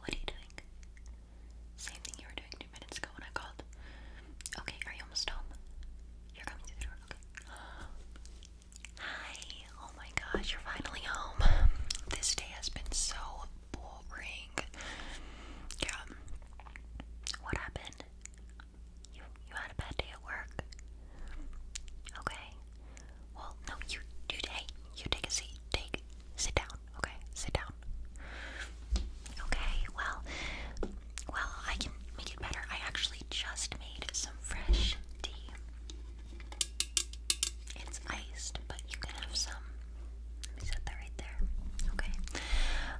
What are you doing? Same thing you were doing two minutes ago when I called. Okay, are you almost home? You're coming through the door, okay. Hi, oh my gosh, you're finally home. This day has been so boring. Yeah. What happened? You you had a bad day at work. Okay. Well, no, you you hey, you take a seat. Take sit down. Okay, sit down. Okay, well, well, I can make it better. I actually just made some fresh tea. It's iced, but you can have some. Let me set that right there. Okay.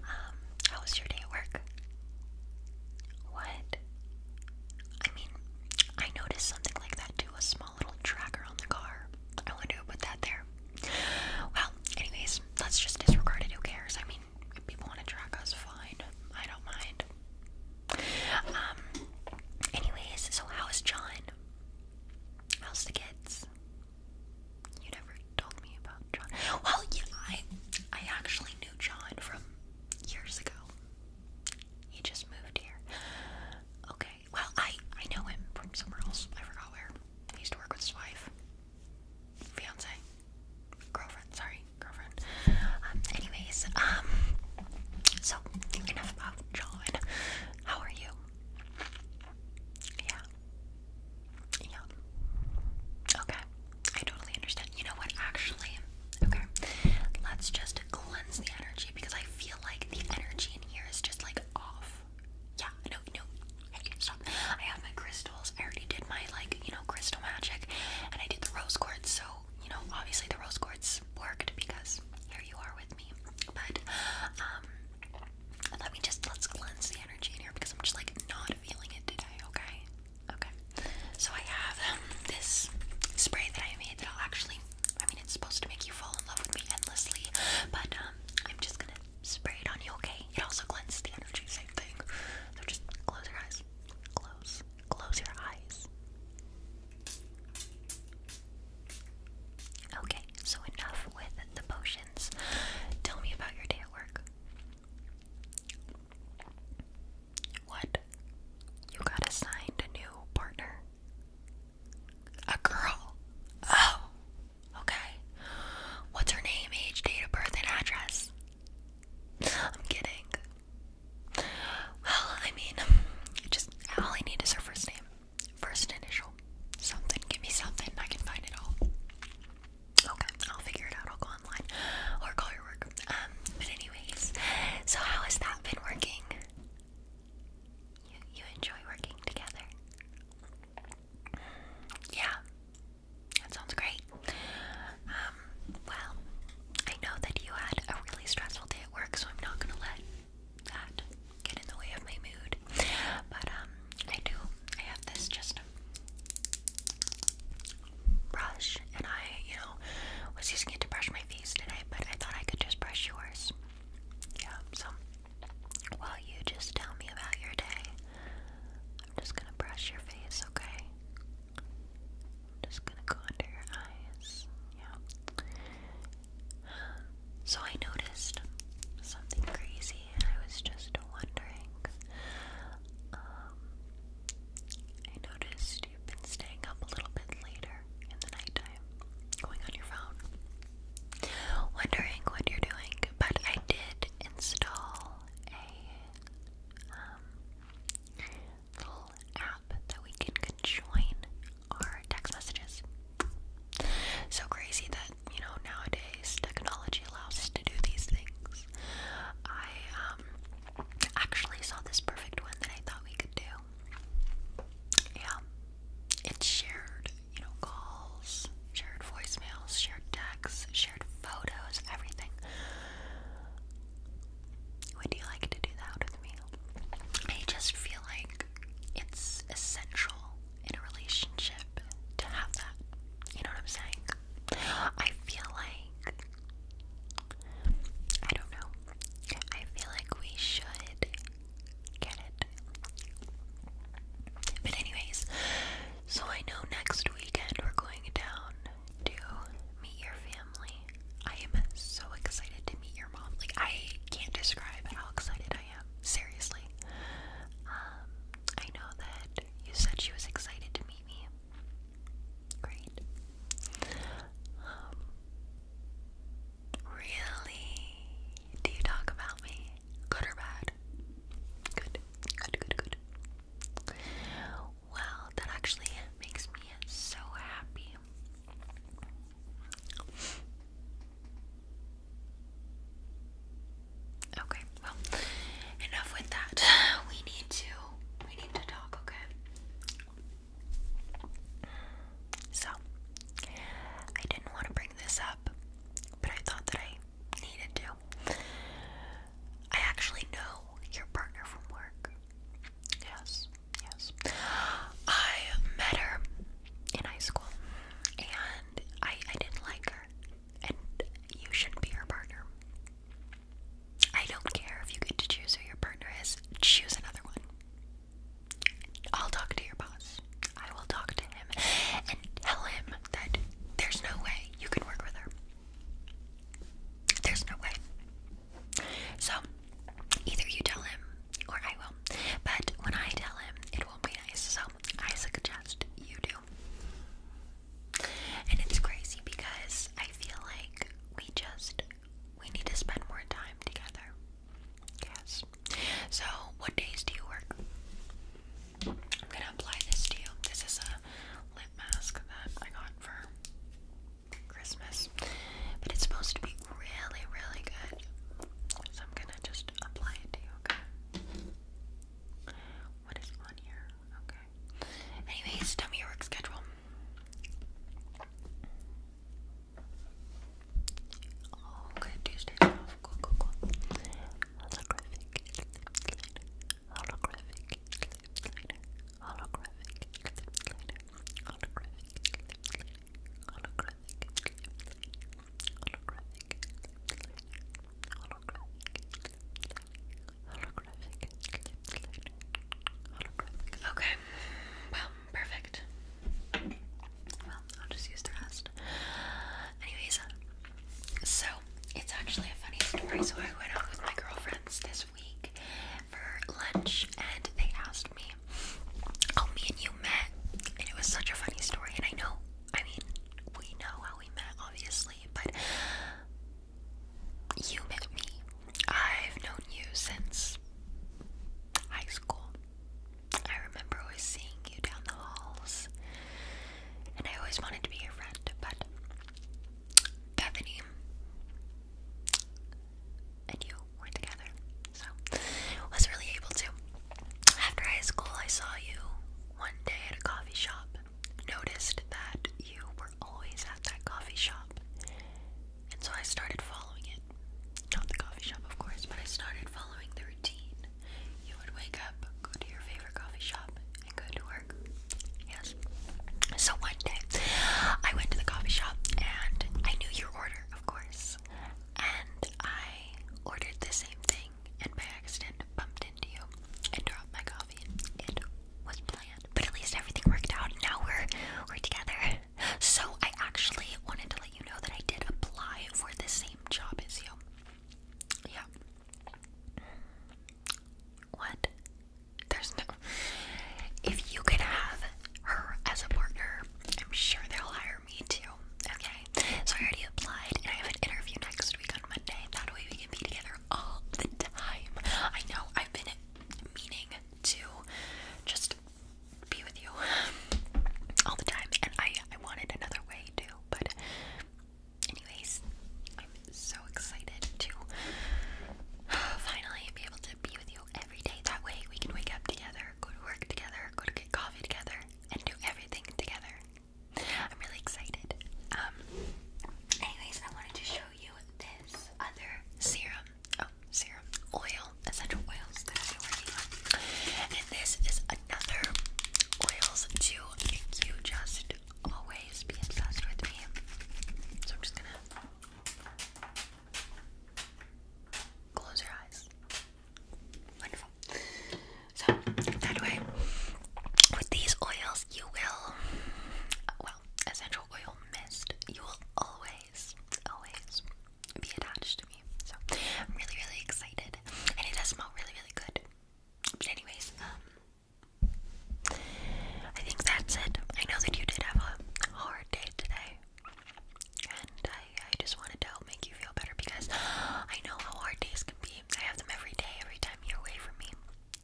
Um, how was your day at work? What? I mean, I noticed something like that too. A small small little tracker on the car. I wonder who put that there. Well, anyways, let's just disregard it. Who cares? I mean, people want to track us, fine. I don't mind. Um, anyways, so how's John? How's the kids? You never told me about John. Well, yeah, I, I actually knew John from years ago. He just moved here. Okay, well, I I know him from somewhere else. I forgot where. He used to work with his wife, fiance, girlfriend. Sorry, girlfriend. Um, anyways, um, so enough about John. How are you? Yeah. Yeah. Okay. I totally understand. You know what? Actually, okay. Let's just cleanse the energy because I feel like the energy in here is just like off. Yeah, no, no, I stop. I have my crystals. I already did my, like, you know, crystal magic, and I did the rose quartz, so, you know, obviously the rose quartz worked because here you are with me. But, um, let me just, let's cleanse the energy in here because I'm just, like, not feeling it today, okay? Okay. So I have um, this spray that I made that'll i actually, I mean, it's supposed to make you fall in love with me endlessly, but, um, I'm just gonna spray it on you, okay? It also cleanses the energy, same thing. So just close your eyes. Close. Close your eyes. Okay, so enough with the potions. Tell me about your day at work. What? You got assigned a new partner? A girl. Oh. Okay. What's her name, age, date of birth, and address? I'm kidding. Well, I mean, just all I need is her first name, first initial. Something. Give me something. I can find it all. Okay, I'll figure it out. I'll go online or call your work. Um, but anyways, so how has that been working? You you enjoy working together? Yeah, that sounds great. Um, well, I know that you had a really stressful day at work, so I'm not gonna let that get in the way of my mood. But um, I do. I have this just brush, and I, you know, was using it to brush my face today, but I thought I could just brush yours. Yeah, so while you just tell me about your day, I'm just gonna brush your face, okay? I'm just gonna go under your eyes. Yeah. So I noticed something crazy, and I was just wondering. Um, I noticed you've been staying up a little bit later in the night going on your phone, wondering what you're doing. But I did install a um, little app that we can conjoin our text messages. So crazy that you know nowadays technology allows us to do these things. I um, actually saw this perfect one that I thought we could do. Yeah, it's shared you know, calls, shared voicemails, shared texts, shared photos, everything. Would you like to do that with me? I just feel like it's essential in a relationship to have that. You know what I'm saying? I feel like. I don't know. I feel like we should Get it? But anyways, so I know next weekend we're going down to meet your family. I am so excited to meet your mom. Like I can't describe how excited I am. Seriously. Um, I know that you said she was excited to meet me. Great. Um, really? Do you talk about me? Good or bad? Good. Good, good, good. Well, that actually makes me so happy. Okay, well, enough with that. We need to we need to talk, okay? So, I didn't want to bring this up but I thought that I needed to. I actually know your partner from work. Yes, yes. I met her in high school and I, I didn't like her. And you shouldn't be her partner. I don't care if you get to choose who your partner is, choose another one. I'll talk to your boss. I will talk to him and tell him that there's no way you can work with her. There's no way. So, either you tell him or I will. But when I tell him, it won't be nice. So, I suggest you do. And it's crazy because I feel like we just we need to spend more time together. Yes. So, what days do you work? I'm gonna apply this to you. This is a lip mask that I got for Christmas, but it's supposed to be really, really good. So, I'm gonna just apply it to you, okay? What is on here? Okay. Anyways, tell me your work schedule. Oh, good. Tuesdays Cool, cool, cool holographic holographic holographic holographic holographic holographic holographic holographic holographic. Okay, well, perfect. Well, I'll just use the rest. Anyways, so it's actually a funny story. So I went out with my girlfriends this week for lunch, and they asked me, "Oh, me and you met," and it was such a funny story. And I know, I mean, we know how we met, obviously, but you met me. I've known you since high school. I remember always seeing you down the halls, and I always wanted to be your friend, but Bethany and you were together, so was really able to. After high school, I saw you one day at a coffee shop. Noticed that you were always at that coffee shop, and so I started following it. Not the coffee shop, of course, but I started following the routine you would wake up, go to your favorite coffee shop, and go to work. Yes. So one day, I went to the coffee shop and I knew your order, of course. And I ordered the same thing and by accident bumped into you and dropped my coffee. It was planned, but at least everything worked out. Now we're we're together. So I actually wanted to let you know that I did apply for the same job as you. Yeah. What? There's no. If you could have her as a partner, I'm sure they'll hire me too. Okay. So I already applied, and I have an interview next week on Monday. That way we can be together all the time. I know I've been meaning to just be with you all the time, and I I wanted another way too, but anyways, I'm so excited to finally be able to be with you every day. That way, we can wake up together, go to work together, go to get coffee together, and do everything together. I'm really excited. Um, anyways, I wanted to show you this other serum. Oh, serum. Oil. Essential oils that I've And this is another oils to you just always be obsessed with me. So I'm just gonna close your eyes. Wonderful. So, that way, with these oils, you will, well, essential oil mist, you will always, always be attached to me. So, I'm really, really excited. And it does smell really, really good. But anyways, um, I think that's it. I know that you did have a hard day today, and I, I just wanted to help make you feel better because I know how hard days can be. I have them every day, every time you're away from me.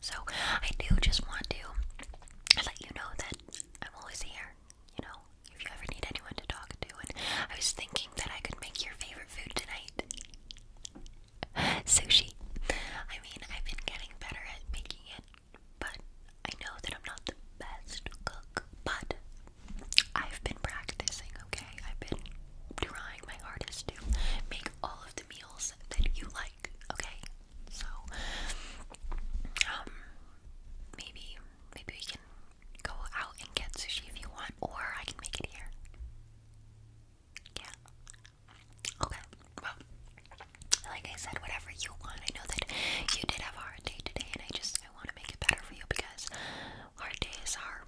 So I do just want to let you know that I'm always here. You know, if you ever need anyone to talk to, and I was thinking that I could make your favorite food tonight. Sushi. I mean, I've been getting better at making it, but I know that I'm not the best cook, but I've been practicing, okay? I've been trying my hardest to make all of the meals that you like, okay? So, um, maybe, maybe we can go out and get sushi if you want, or I can make it here. Yeah. Okay. Well, like I said, whatever you want. I know that you did have a hard day today, and I just I want to make it better for you because hard days are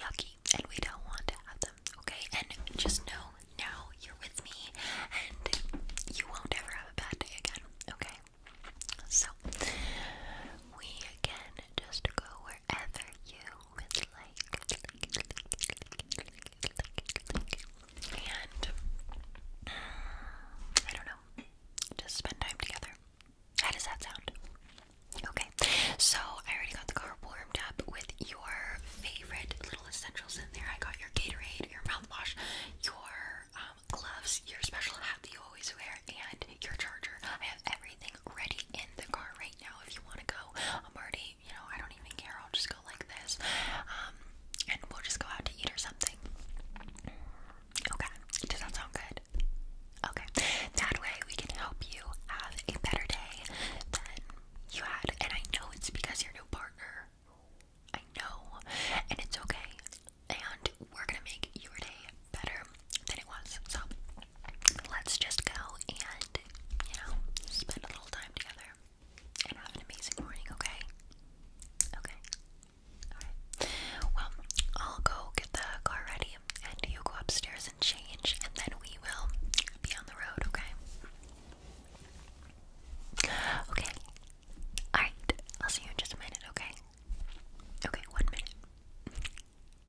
yucky, and we don't want to have them. Okay. And just know now you're with me, and you won't ever have a bad day again. Okay. So we can just go wherever you with like, and uh, I don't know, just spend time together. How does that sound? Okay, so I already got the car warmed up with your favorite little essentials in there. I got your Gatorade, your mouthwash, your um, gloves, your special hat that you always wear, and your charger. I have everything ready in the car right now if you want to go. I'm already, you know, I don't even care. I'll just go like this. Um, and we'll just go out to eat or something. Okay. Does that sound good? Okay. That way we can help you have a better day than you had. And I know it's because you're new partner. I know. And it's okay. And we're gonna make your day better than it was. So let's just go and, you know, spend a little time together and have an amazing morning, okay? Okay. Alright. Well, I'll go get the car ready and you go upstairs and change and then we will be on the road, okay? Okay. Alright. I'll see you in just a minute, okay? Okay, one minute.